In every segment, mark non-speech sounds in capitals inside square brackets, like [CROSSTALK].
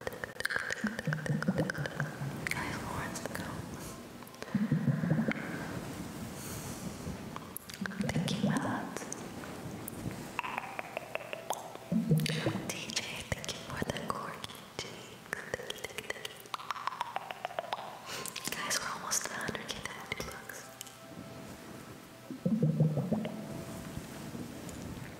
Guys, Lawrence the goat. Thank you, my lads. DJ, thank you for the corky cheeks. Guys, we're almost to 100k bucks.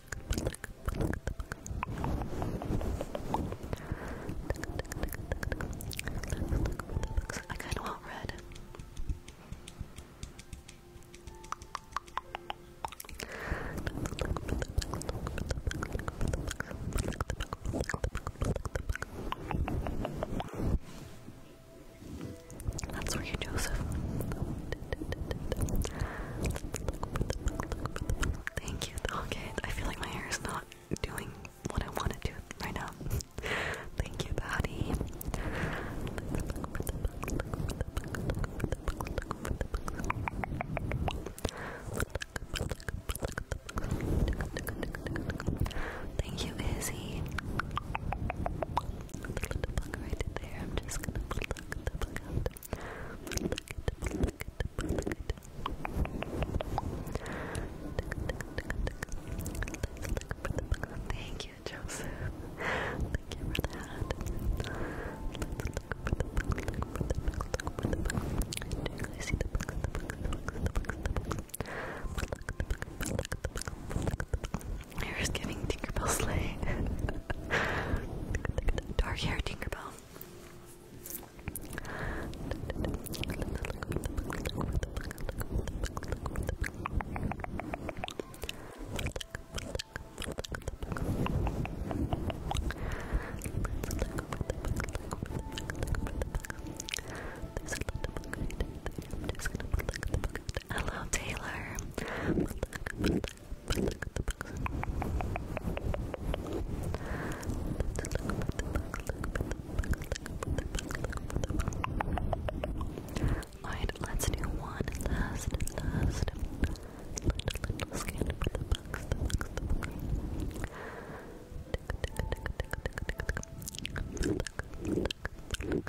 I kind of red. That's where you, Joseph. Thank you, Doggett. I feel like my hair is not doing what I want it to right now. Thank you, Patty. Thank you, Izzy. right there. I'm just gonna Thank you, Joseph. Thank you for that. I see the book, the book, the book, the book, the book. I was giving Tinkerbell sleigh. [LAUGHS] dark hair Tinkerbell. Hello, Taylor. Let's look at the box. Let's look at the box. Alright, let's do one last, last little, little scan for the box, the box, the box. Look, look, look, look, look.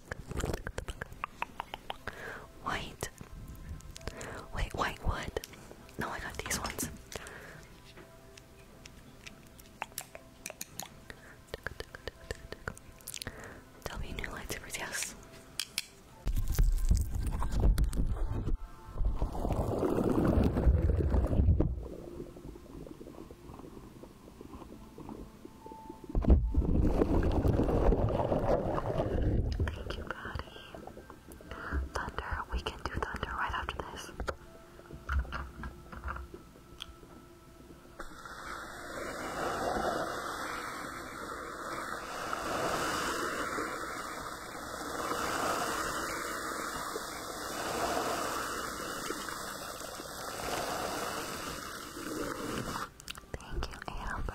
White. Wait, white wood. No, I got these ones. Tell me new lightsabers, yes. Thank you, buddy. Thunder, we can do thunder right after this. Thank you, Amber.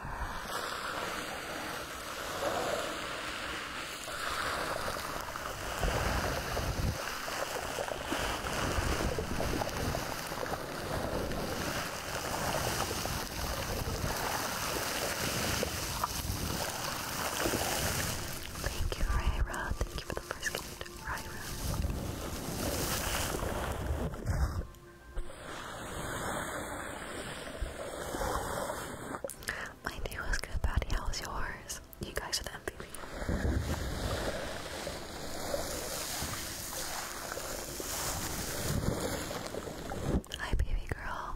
Thank you, Ryra. Thank you for the first gift, Ryra. My day was good, Patty. How was yours? You guys are the MVP. Hi, baby girl.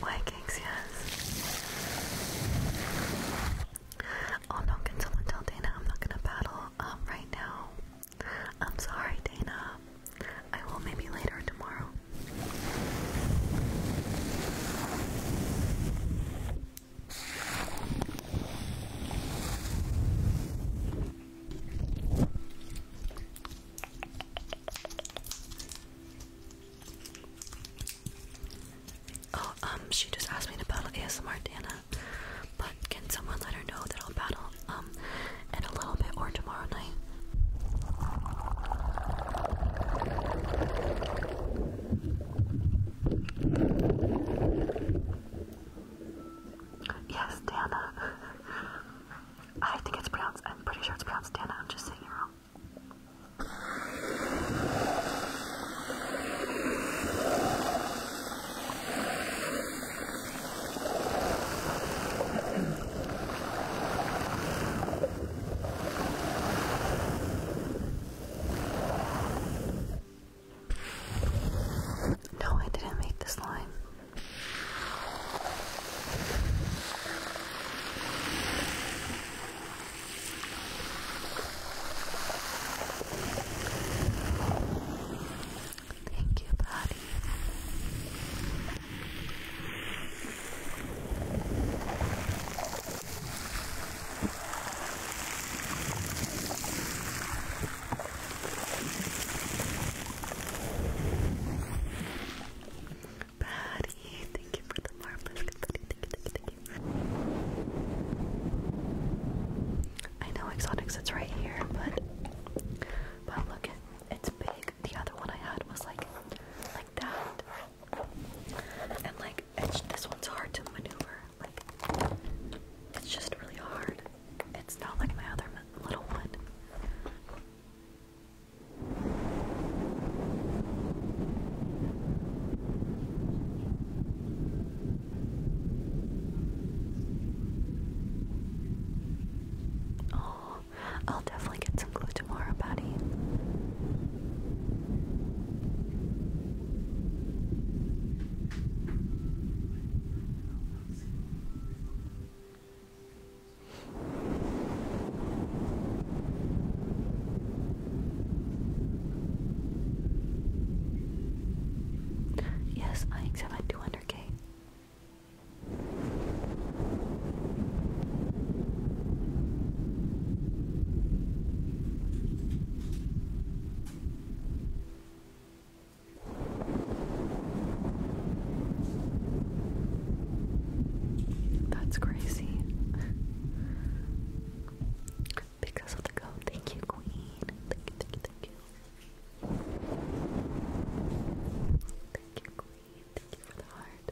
Vikings, yes. Oh no, can someone tell Dana I'm not gonna battle? Um, right now. I'm sorry, Dana. I will maybe later tomorrow. Oh, um, she just asked me to battle ASMR, Dana. But can someone let her know that I'll battle um in a little bit or tomorrow night? Yes, Dana. I think it's pronounced. I'm pretty sure it's pronounced Dana. I'm just saying it wrong. No, I didn't make this line. Thank you, buddy. Patty, thank you for the marvelous confetti. Thank you, thank you, thank you. I know Exotics, it's right here, but but look it, it's big. The other one I had was like like that, and like it's, this one's hard to maneuver. Like it's just really hard. It's not like my other little one. Oh, I'll definitely get some glue tomorrow, buddy. Yes, I accept my 200k. That's crazy because of the code. Thank you, Queen. Thank you, thank you, thank you. Thank you, Queen. Thank you for the heart.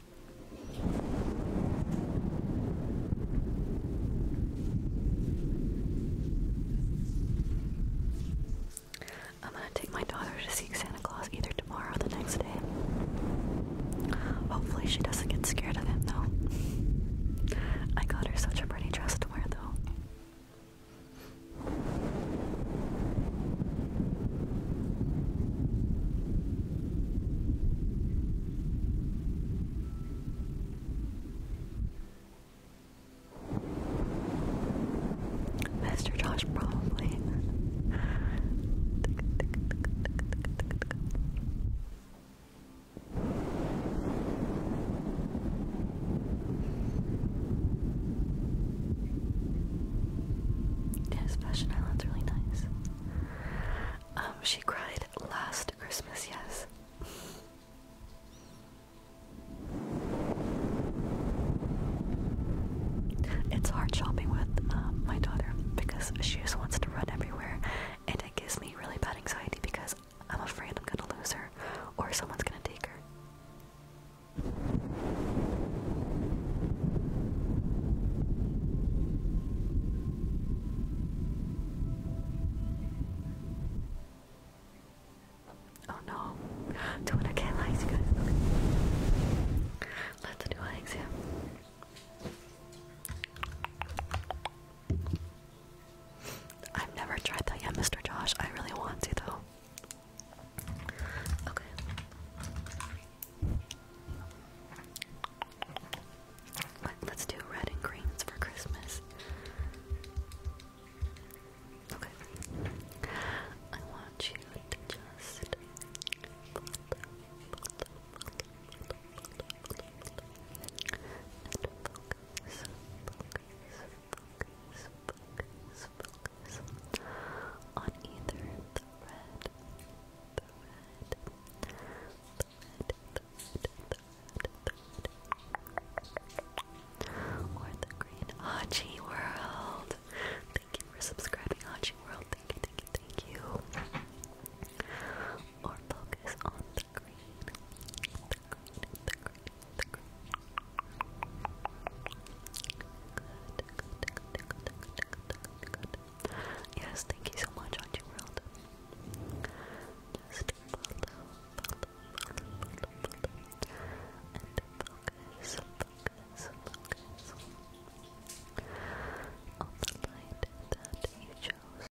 I'm gonna take my daughter to see Santa Claus either tomorrow or the next day. Hopefully, she doesn't get scared of him though. I got her such a pretty dress to wear though. Master Josh, probably. [LAUGHS] Yes, Fashion Island's really nice. Um, she cried last Christmas, yes. It's hard shopping with um, my daughter because she just wants to run everywhere, and it gives me really bad anxiety because I'm afraid I'm gonna lose her or someone's gonna take her. Oh no, do it again, lies, Let's do an exam. I've never tried that yet, Mr. Josh. I really want to, though. Okay. Let's do red and greens for Christmas. Okay. I want you to just on either the red, or the green. Hachi World! Thank you for subscribing, Hachi World. Thank you, thank you, thank you. Or focus on Yes, thank you so much, Auntie World. Just follow, follow, follow, follow, follow. and focus, focus, focus on the light that you chose.